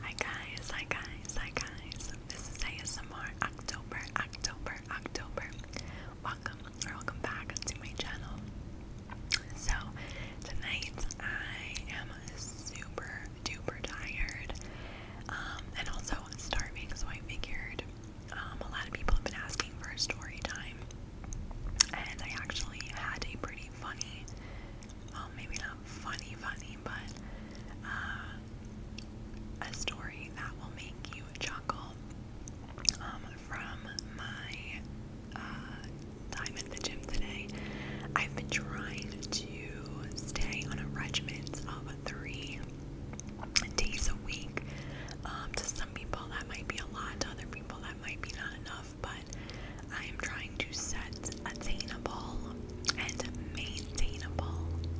Hi guys, hi guys, hi guys. This is ASMR October, October, October. Welcome or welcome back to my channel. So, tonight I am super duper tired um, and also starving, so I figured um, a lot of people have been asking for story time. And I actually had a pretty funny well, um, maybe not funny, funny, but uh, a story that will make you chuckle um, from my uh, time at the gym today. I've been trying to stay on a regimen of three days a week. Um, to some people, that might be a lot, to other people, that might be not enough but I am trying to set attainable and maintainable,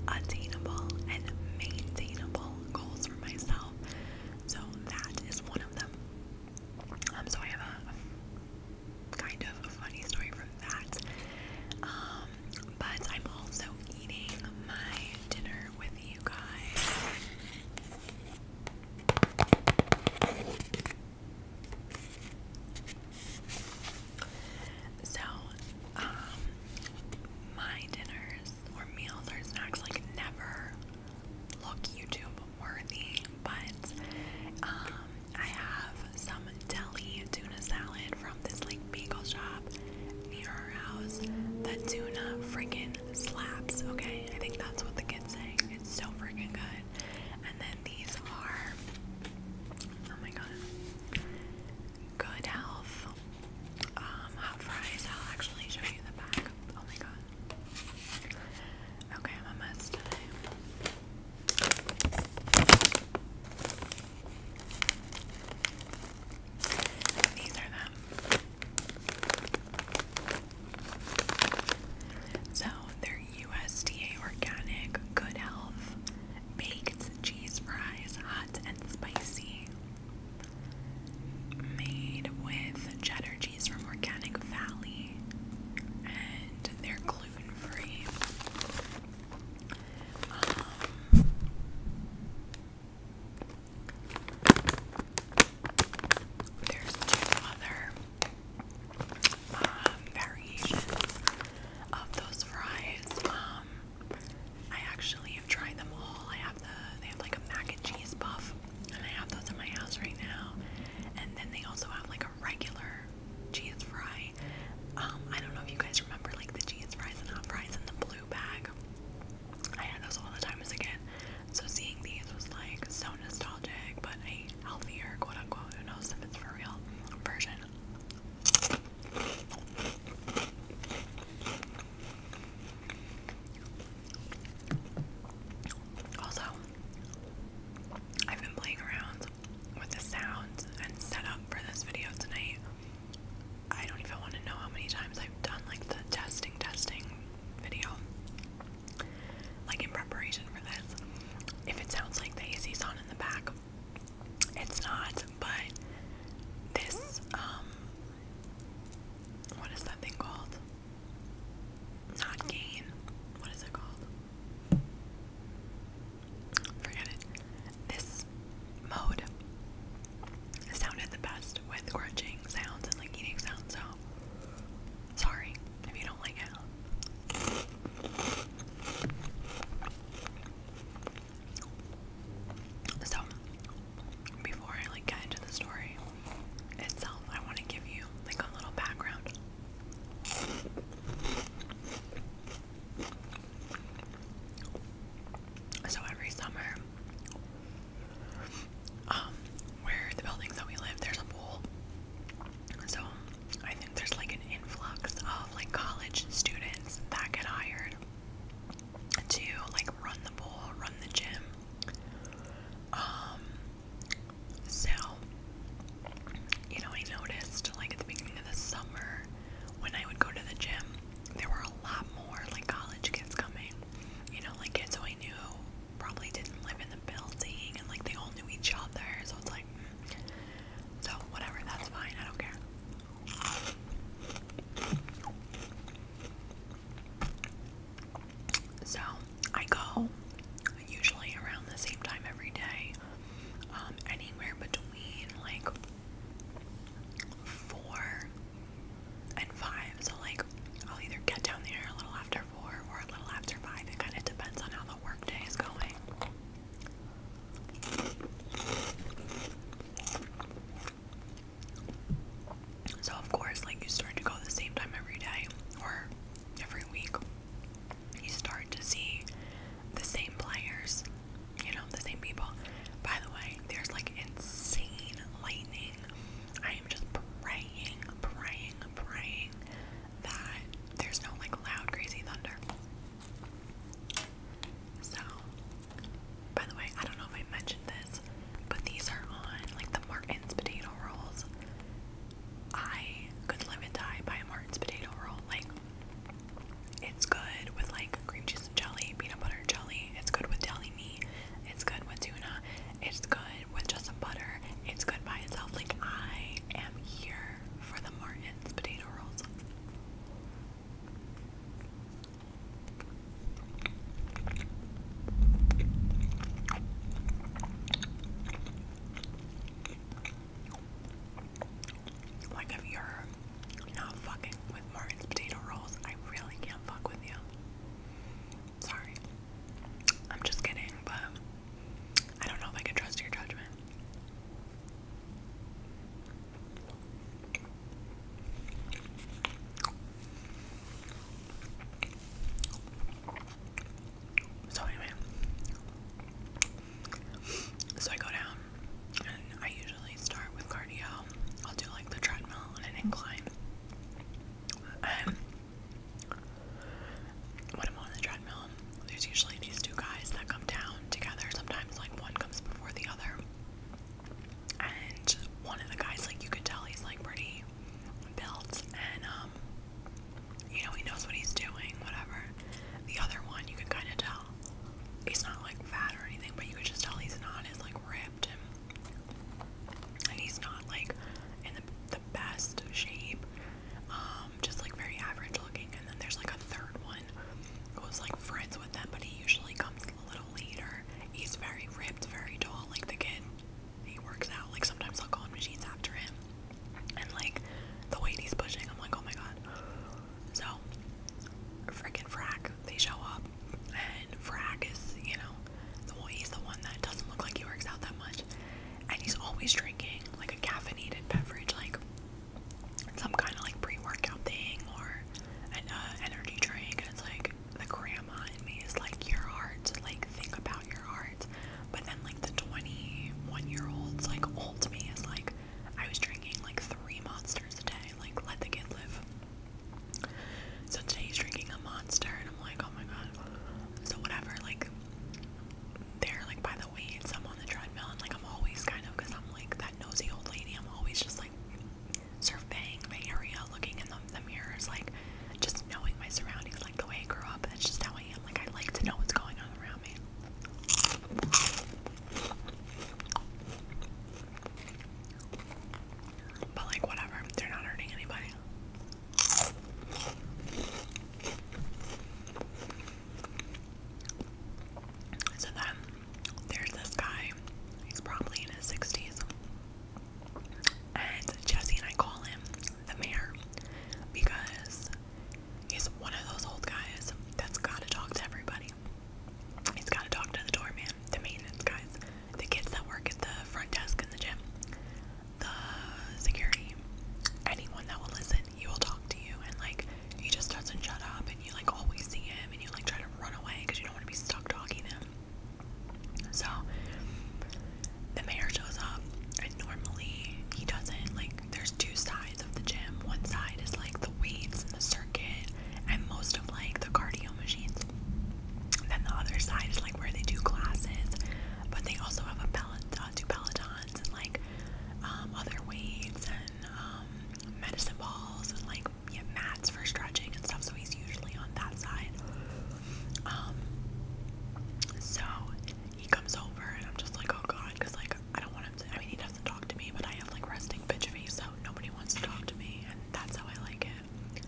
attainable and maintainable goals for myself. So that is one of them. I'm um, sorry I have a kind of a funny story from that. Um, but I'm also eating my dinner with you guys. So, um, my dinners or meals or snacks like never look YouTube worthy, but um, I have some deli tuna salad from this like bagel shop near our house. The tuna freaking slaps, okay? I think that's what the kids say. It's so freaking good good. And then these are oh my god, good health. Um, hot fries. I'll actually show you the back. Oh my god. Okay, I'm a mess today. These are them. So they're USDA organic, good health, baked cheese fries, hot and spicy. Made with cheddar cheese from Organic Valley, and they're gluten free. Um, there's two other um, variations of those fries. Um, I actually have tried them all. I have the they have like a mac and cheese puff, and I have those in my house right now. And then they also have like a regular cheese fry. Um, I don't know if you guys remember like the cheese fries and hot fries in the blue bag. I had those all the time as a kid. So seeing these was like so nostalgic, but a healthier, quote unquote, who knows if it's for real, version. Also, I've been playing around with the sounds and setup for this video tonight. I don't even want to know how many times I've done like the testing, testing video like in preparation for this. If it sounds like the AC's on in the back, it's not, but this, um, what is that thing called? Not gain. What is it called? Forget it. This mode sounded the best with crunching sounds and like eating sounds, so Sorry if you don't like it. So, before I like get into the story itself, I want to give you like a little background. So every summer, um, where the buildings that we live, there's a pool. So I think there's like an influx of like college students that get hired to like run the pool, run the gym. Um so you know, I noticed like at the beginning of the summer when I would go to the gym, there were a lot more like college kids coming. You know, like kids who I knew probably didn't live in the building and like they all knew each other, so it's like, mm. so whatever, that's fine, I don't care. So I go usually around the same time every day, um, anywhere between like four and five. So like I'll either get down there a little after or a little after five. It kind of depends on how the workday is going. So of course, like you start to go the same time every day or every week, you start to see the same players, you know, the same people. By the way, there's like insane lightning. I am just praying, praying, praying that there's no like loud, crazy thunder. So, by the way, I don't know if I mentioned this, but these are on like the Martin's potato rolls. I could live and die by a Martin's potato roll. Like, it's good with like cream cheese and jelly, peanut butter and jelly. It's good with deli meat. It's good with tuna. It's good with just some butter. It's good by itself. Like I am here for the Martin's potato rolls. Like if you're not fucking with Martin's potato rolls, I really can't fuck with you. Sorry. I'm just kidding, but I don't know if I can trust your judgment. So anyway, so I go down, and I usually start with cardio. I'll do like the treadmill on an incline. Um, when I'm on the treadmill, there's usually these two guys that come down together. Sometimes, like, one comes before the other. And one of the guys, like, you could tell he's, like, pretty built and, um, you know, he knows what he's doing, whatever. The other one, you can kind of tell. He's not, like, fat or anything, but you could just tell he's not as, like, ripped and. And he's not like in the the best shape, um, just like very average looking. And then there's like a third one who was like friends with them, but he usually comes a little later. He's very ripped, very tall, like the kid. He works out. Like sometimes I'll go on machines after him, and like the weight he's pushing, I'm like, oh my god. So, freaking Frack, they show up, and Frack is, you know, the well, he's the one that doesn't look like he works out that much. And he's always drinking like a caffeinated beverage, like some kind of like pre workout thing or an uh, energy drink. And it's like the grandma in me is like, Your heart, like, think about your heart. But then, like, the 21 year old's like old me is like, I was drinking like three monsters a day, like, let the kid live. So today he's drinking a monster, and I'm like, oh my god. So whatever, like they're like by the weights, I'm on the treadmill and like I'm always kind of because I'm like that nosy old lady, I'm always just like surveying the area, looking in the, the mirrors, like just knowing my surroundings, like the way I grew up. That's just how I am. Like I like to know what's going on around me. But like whatever, they're not hurting anybody. So then there's this guy, he's probably in his 60s. And Jesse and I call him the mayor because he's one of those old guys that's gotta talk to everybody. He's gotta talk to the doorman, the maintenance guys, the kids that work at the front desk in the gym, the security, anyone that will listen, he will talk to you, and like he just doesn't shut up, and you like always see him, and you like try to run away because you don't want to be stuck talking to him. So the mayor shows up, and normally he doesn't like. There's two sides of the gym. One side is like the weights and the circuit, and most of like the cardio machines. Then the other side is like where they do classes, but they also have a pellet, uh, do pelotons and like um, other weights and um, medicine balls and like yeah, mats for stretching and stuff. So he's usually on that side. Um, so he comes over and I'm just like, oh god, because like I don't want him to. I mean, he doesn't talk to me, but I have like resting bitch face, so nobody wants to talk to me, and that's how I like it.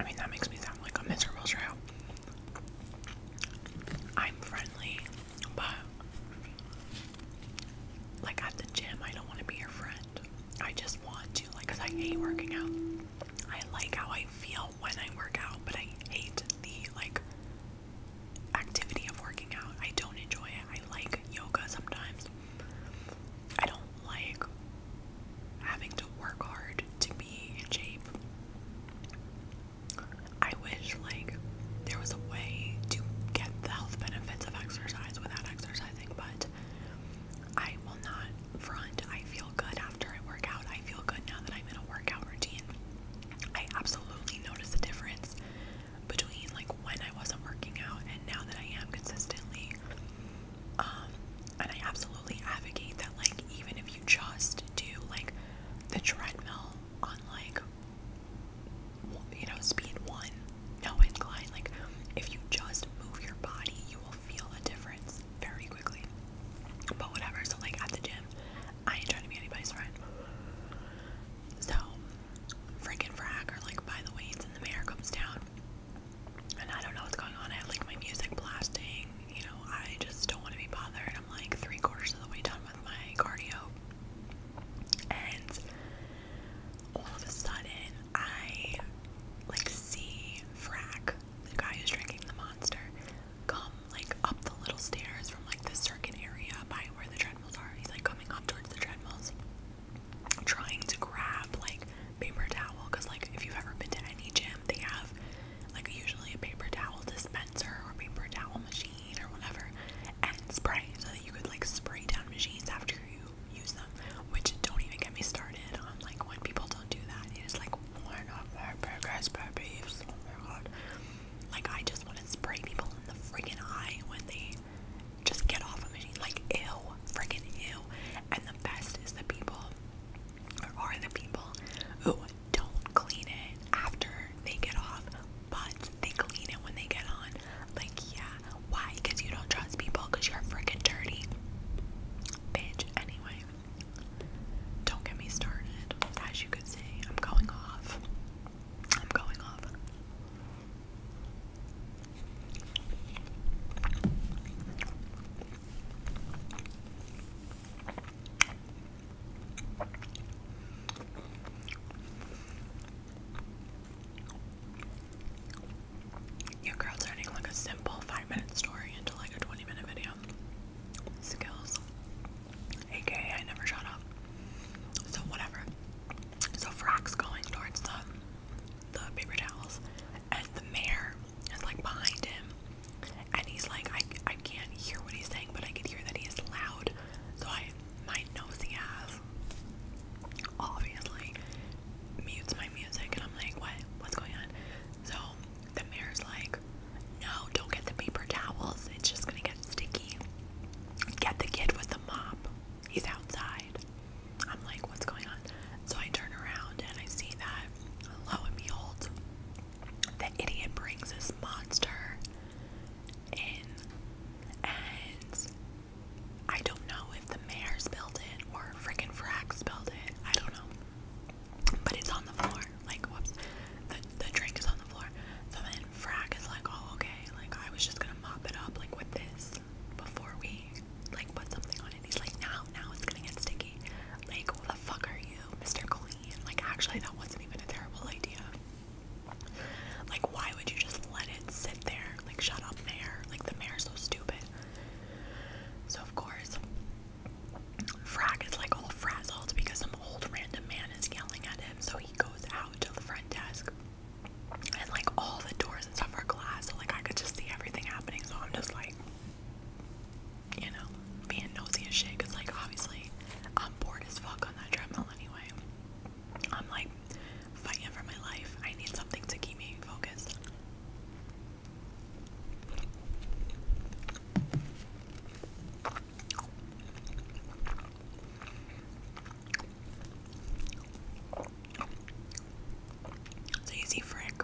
I mean, that makes me sound like a miserable child. I'm friendly, but like at the gym, I don't want to be your friend. I just want to, like, because I hate working out. I like how I feel when I work out, but I hate the like activity of working out. I don't enjoy it. I like yoga sometimes. I don't like having to work hard to be in shape. I wish like there was a way to get the health benefits of exercise without exercising, but I will not front. I feel good after I work out. I feel good now that I'm in a workout routine. I absolutely notice the difference between like when I wasn't working out and now that I am consistently. Um, and I absolutely advocate that like even if you just do like the treadmill on like you know speed one, no incline, like if you just move your body, you will feel a difference very quickly. But whatever, so like at the gym, I ain't trying to be anybody's friend. So freaking frag like by the weights and the mayor comes down and I don't know what's going on. I have like my music blasting, you know, I just don't want to be bothered. I'm like three quarters of the way done with my cardio. And all of a sudden I like see Frack, the guy who's drinking the monster, come like up the little stairs from like the circuit area by where the treadmills are. He's like coming up towards the treadmills, trying to grab like paper towel because like if you've ever been to any gym, they have like usually a paper towel dispenser or paper towel machine or whatever, and spray so that you could like spray down machines after you use them, which don't even get me started on like when people don't do that. It is like one of my biggest pet Oh my god! Like I just want to spray people in the freaking eye when they just get off a machine. Like ew, freaking ew. And the best is the people, or are the people who don't clean it after they get off, but they clean it when they get on. Like yeah, why? Because you don't trust people because you're freaking dirty. Bitch, anyway. Don't get me started. As you could see, I'm going off. I'm going off. Your girl turning like a simple five minute story into like a 20 minute video. Skills. AKA, I never shut up. So, whatever. So, Frack's going towards the, the paper towels, and the mayor is like behind him. And he's like, I, I can't hear what he's saying, but I can hear that he is loud. So, I, my nosy ass, obviously, mutes my music and I'm like, what? What's going on? So the mayor's like, no, don't get the paper towels. It's just gonna get sticky. Get the kid with the mop. He's outside. I'm like, what's going on? So I turn around and I see that, lo and behold, the idiot brings this monster in and I don't know if the mayor's built it or frickin' Frax built it. I don't know. But it's on the floor. Like, whoops. The, the drink is on the floor. So then Frack is like, oh, okay. Like, I was just gonna mop it up, like, with this before we, like, put something on it. He's like, now, now it's gonna get sticky. Like, what the fuck are you, Mr. Clean? Like, actually, that wasn't even a terrible idea. Like, why would you just let it sit there? Like, shut up, mayor. Like, the mayor's so stupid. So of course, Frag is like all frazzled because some old random man is yelling at him. So he goes out to the front desk, and like all the doors and stuff are glass, so like I could just see everything happening. So I'm just like, you know, being nosy as shit. Cause like obviously, I'm bored as fuck on that treadmill anyway. I'm like fighting for my life. I need something to keep me focused. So Frick.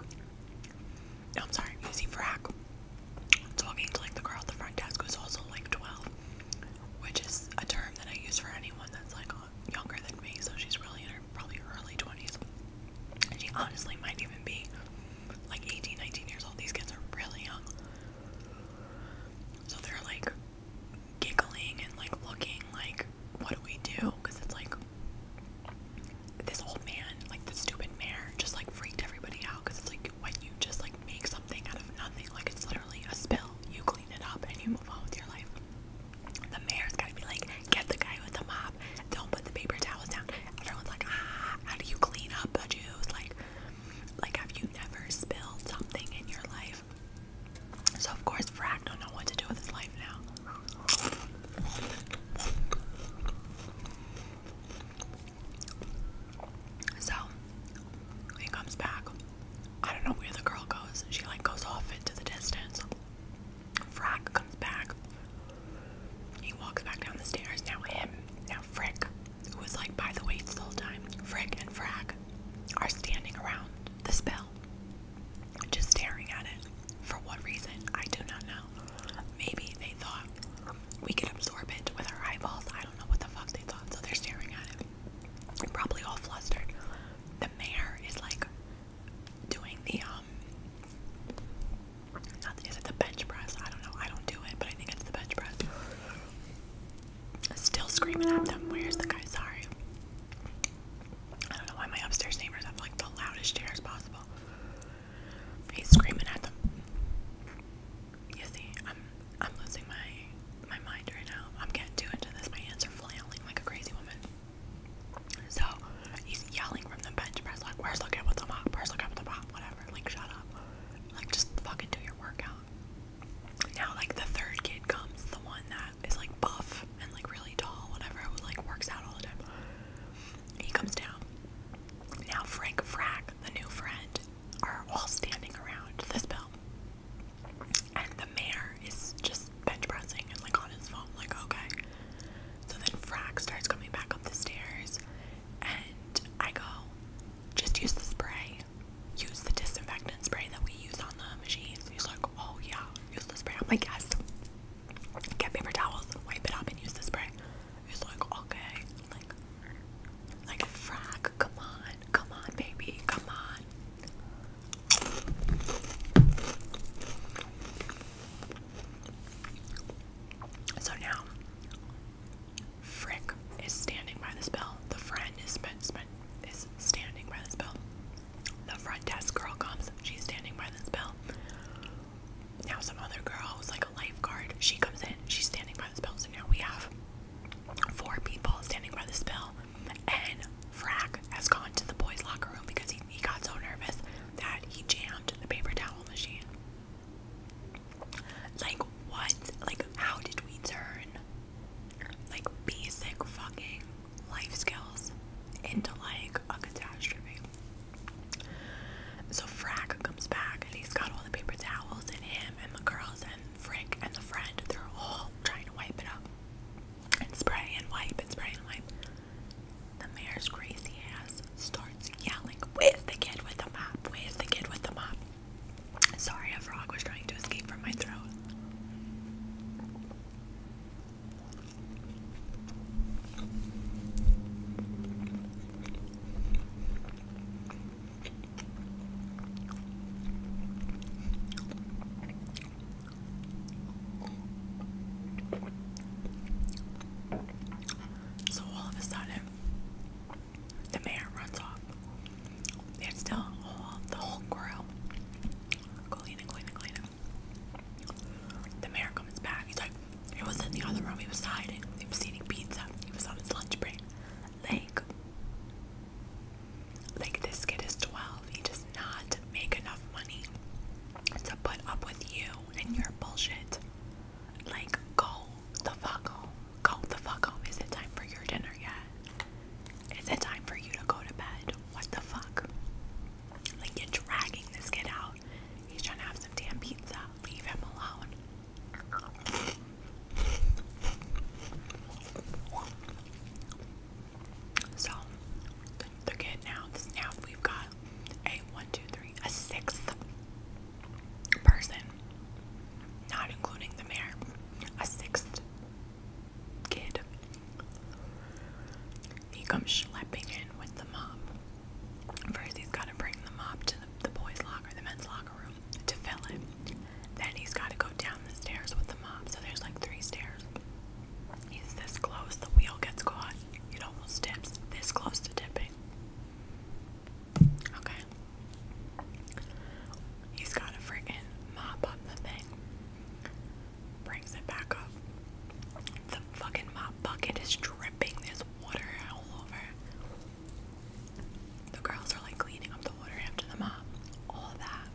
I'm sorry, you Frack talking to like the girl at the front desk who's also like 12, which is a term that I use for anyone that's like younger than me, so she's really in her probably early 20s. She honestly might even be like 18, 19 years old. These kids are really young. So they're like giggling and like looking like, what do we do? Because it's like this old man, like the stupid mayor, just like freaked everybody out. Because it's like when you just like make something out of nothing, like it's literally a spill. You clean it up and you move on with your life the mayor's gotta be like, get the guy with the mop, don't put the paper towels down. Everyone's like, ah, how do you clean up juice? Like, like have you never spilled something in your life? So of course Frack don't know what to do with his life now. So he comes back. I don't know where the girl goes. She like goes off into the distance. Frack comes back. He walks back down the stairs. Now him, now Frick, who was like by the weights the whole time. Frick and Frack are standing around the spell, just staring at it. For what reason, I do not know. Maybe they thought we could absorb it with our eyeballs. I don't know what the fuck they thought, so they're staring at it. Probably all flustered. The mayor is like doing the um is it the bench press? I don't know. I don't do it, but I think it's the bench press. Still screaming at them. Where's the guy? Sorry. I don't know why my upstairs neighbors have like the loudest chairs possible. He's screaming at them. You see, I'm I'm losing my my mind right now. I'm getting too into this. My hands are flailing like a crazy woman. So he's yelling from the bench press, like, where's the guy with the mop? Where's the guy with the mop? Whatever, like, shut up. Like, just fucking do your workout. Now, like, the third kid comes, the one that is, like, buff and, like, really tall, whatever, who, like, works out all the time. He comes down. Now, Frank Frack, the new friend, are all standing around this bell. And the mayor is just bench pressing and like on his phone, like, okay. So then Frack starts coming back up the stairs, and I go, just use the spray. Use the disinfectant spray that we use on the machines. He's like, oh yeah, use the spray. I'm like, yes. Get paper towels, wipe it up, and use the spray. He's like, okay. Like, like, Frack, come on, come on, baby, come on. So now, Frick is standing by this bell. The friend is standing by this bell. The front desk girl comes. She's standing by this bell. Now some other girl who's like a lifeguard. She comes in. She's standing by this bell. So now we have four people standing by this bell and Frack has gone to the boys' locker room because he, he got so nervous that he jammed the paper towel machine. Like, what? Like, how did we turn like basic fucking life skills into like a catastrophe? So, Frack comes back and he's got all the paper towels, and him and the girls and Frick and the friend, they're all trying to wipe it up and spray and wipe and spray and wipe. The mayor's crazy ass starts yelling, with the kid with the mop? with the kid with the mop? Sorry, a frog was trying to escape from my throat. So all of a sudden, the mayor runs off. It's still all the whole grill. Cleaning, cleaning, cleaning. The mayor comes back. He's like, it was in the other room. He was hiding. He was eating pizza. He was on his lunch break. Like, like, this kid is 12. He does not make enough money to put up with you and your bullshit. Like, go the fuck home. Go the fuck home. Is it time for your dinner yet? Is it time for you to go to bed? What the fuck? Like, you're dragging this kid out. He's trying to have some damn pizza. Leave him alone. So they're now. now we've got a one, two, three, a sixth person, not including the mayor, a sixth kid. He comes schlepping in with the mop. First, he's to bring the mop to the boys' locker, the men's locker room, to fill it. Then he's got to go down the stairs with the mop. So there's like three stairs. He's this close, the wheel gets caught. It almost tips. This close to tipping. Okay. He's got to freaking mop up the thing. Brings it back up. The fucking mop bucket is dripping. this water all over. The girls are like cleaning up the water after the mop. All that.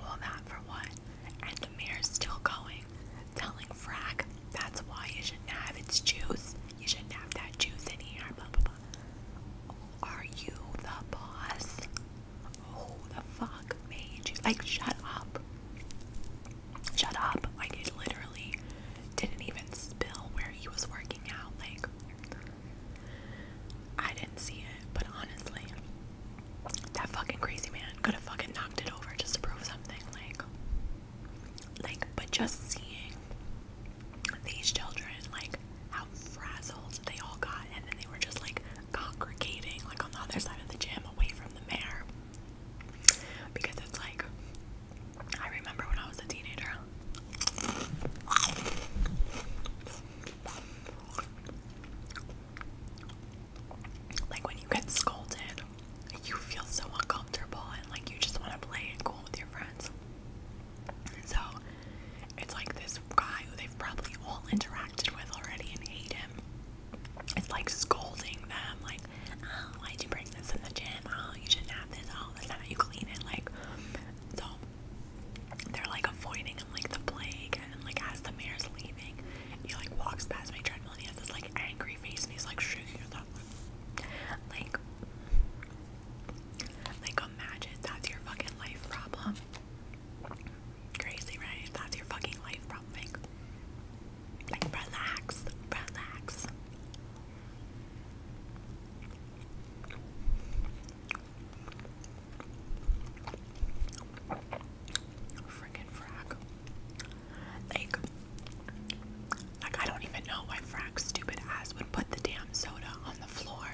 Well, that for what? And the mirror's still going, telling Frack that's why you shouldn't have its juice. You shouldn't have that juice in here. Blah blah blah. Are you the boss? Who the fuck made you? Like, shut up. Shut up. Like, it literally didn't even spill where he was working out. Like, I didn't see it, but honestly, that fucking crazy man could have fucking knocked it over just to prove something. Like, like, but just seeing these children, like, how frazzled they all got, and then they were just like congregating, like on the other side of the gym, away from the mayor. Because it's like, I remember when I was a teenager. Like when you get scolded, you feel so uncomfortable and like you just want to play it cool with your friends. so it's like this guy who they've probably all interacted with already and hate him. It's like scolding them, like, oh, why'd you bring this in the gym? Oh, you shouldn't have this. Oh, that's not how you clean it. Like, so they're like avoiding him like the plague and then like as the mayor's leaving he like walks past my treadmill and he has this like angry face and he's like shaking his head like like imagine that's your fucking life problem crazy right that's your fucking life problem like relax relax Freaking frack. Like, like I don't even know why frack stupid ass would put the damn soda on the floor.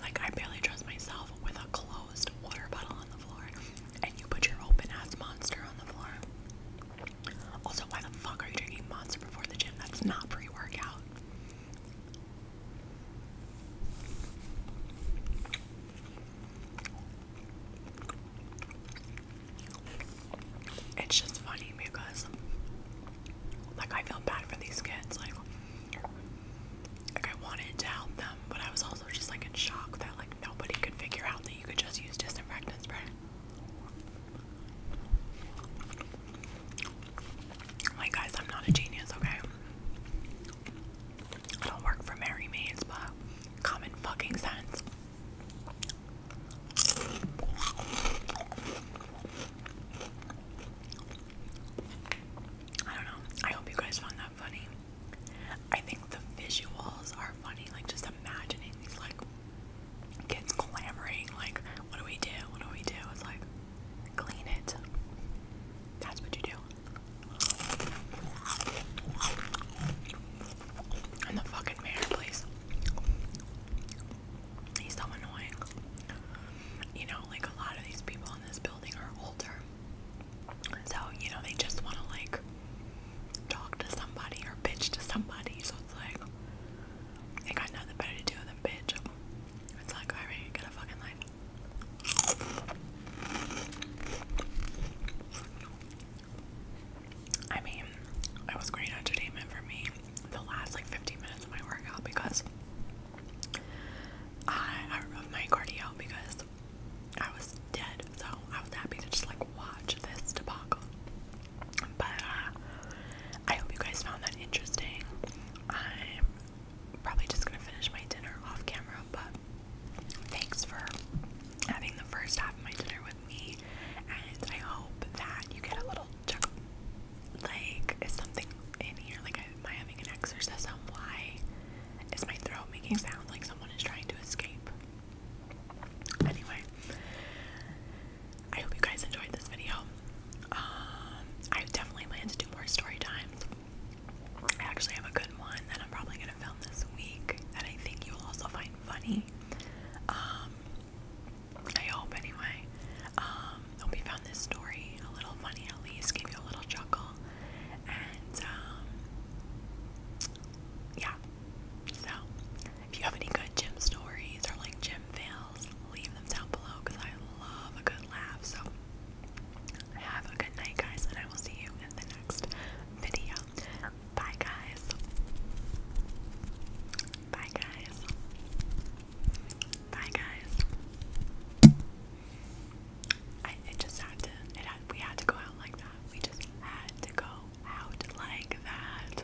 Like I barely trust myself with a closed water bottle on the floor, and you put your open ass monster on the floor. Also, why the fuck are you drinking monster before the gym? That's not pre-workout. It's just funny because like I feel bad for these kids, like like I wanted to help them, but I was also just like in shock that like nobody could figure out that you could just use disinfectant spray. Like, guys, I'm not a genius, okay? I don't work for Mary Maids, but common fucking sense. I don't know. I hope you guys found that funny. I think the visuals are funny, like just imagining these like kids clamoring, like, what do we do? What do we do? It's like Clean it. That's what you do. And the fucking mayor, please. He's so annoying. You know, like a lot of these people in this building are older. So, you know, they just want to like talk to somebody or bitch to somebody. So it's like, they got nothing better to do than bitch. It's like Irene, get a fucking life. I mean, it was great entertainment for me the last like 15 minutes of my workout because I of my cardio because I was dead, so I was happy to just like watch this debacle. But uh, I hope you guys found that interesting. I'm probably just gonna finish my dinner off camera, but thanks for having the first half of my dinner with me, and I hope that you get a little chuckle. Like, is something in here? Like, am I having an exorcism? Why is my throat making sound like someone is trying to escape? Anyway, I hope you guys enjoyed this video. Um, I definitely plan to do more story times. I actually have a good one that I'm probably gonna film this week that I think you'll also find funny. Um, I hope anyway. Um, hope you found this story a little funny at least, gave you a little chuckle, and um, yeah. So, if you have any good gym stories or like gym fails, leave them down below because I love a good laugh. So, have a good night, guys, and I will see you in the next video. Bye, guys. Bye, guys. Bye, guys. it just had to. It had, we had to go out like that. We just had to go out like that.